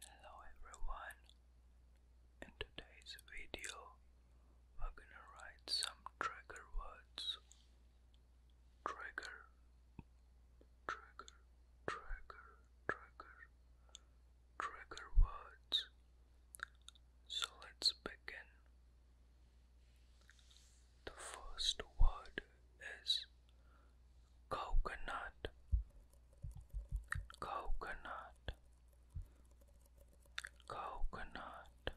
Hello everyone. In today's video, we're gonna write some trigger words trigger, trigger, trigger, trigger, trigger words. So let's begin. The first word is coconut, coconut, coconut,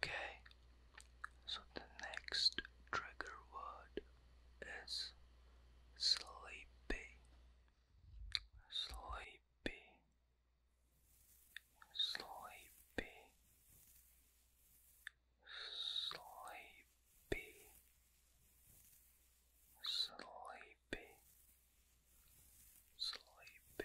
Okay, so the next trigger word is sleepy, sleepy, sleepy, sleepy, sleepy. Sleepy,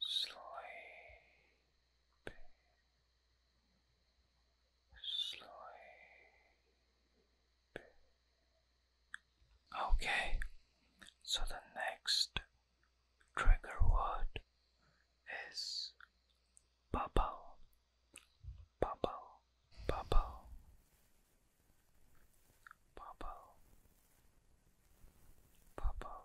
Sleep, sleepy. Okay, so the next trigger word is bubble, bubble, bubble, bubble, bubble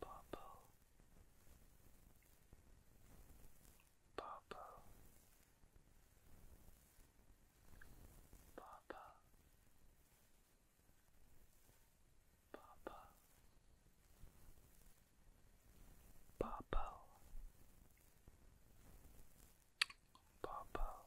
purple, purple, purple, purple, purple, purple. Purple,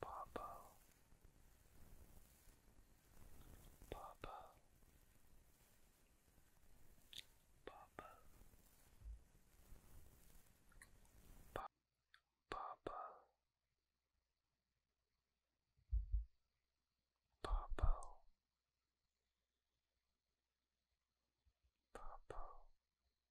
Papa, Papa, Papa, Papa, Papa, Papa. Papa.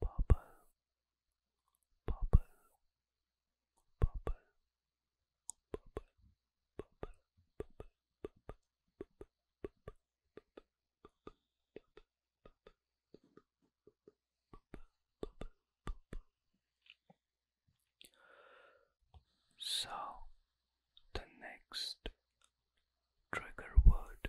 bubble, bubble, bubble, bubble, bubble, bubble, bubble. So the next trigger word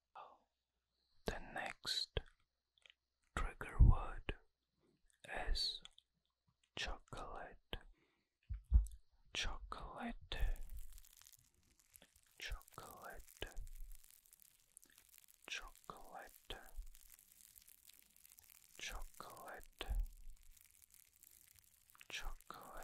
The next trigger word is chocolate, chocolate, chocolate, chocolate, chocolate, chocolate,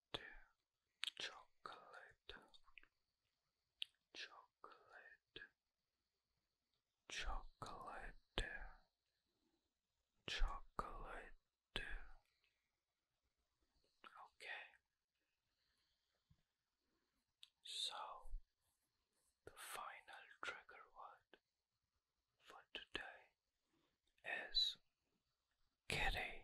chocolate, chocolate, chocolate, chocolate. Okay. So, the final trigger word for today is kitty.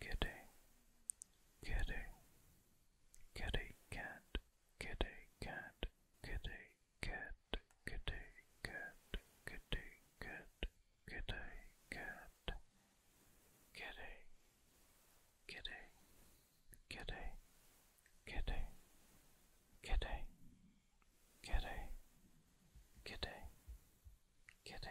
kitty, kitty, kitty cat, kitty cat, kitty cat, kitty cat, kitty cat, kitty cat, kitty, kitty, kitty, kitty, kitty, kitty, kitty, kitty. Kitty,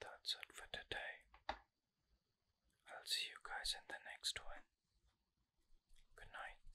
that's it for today. I'll see you guys in the next one. Good night.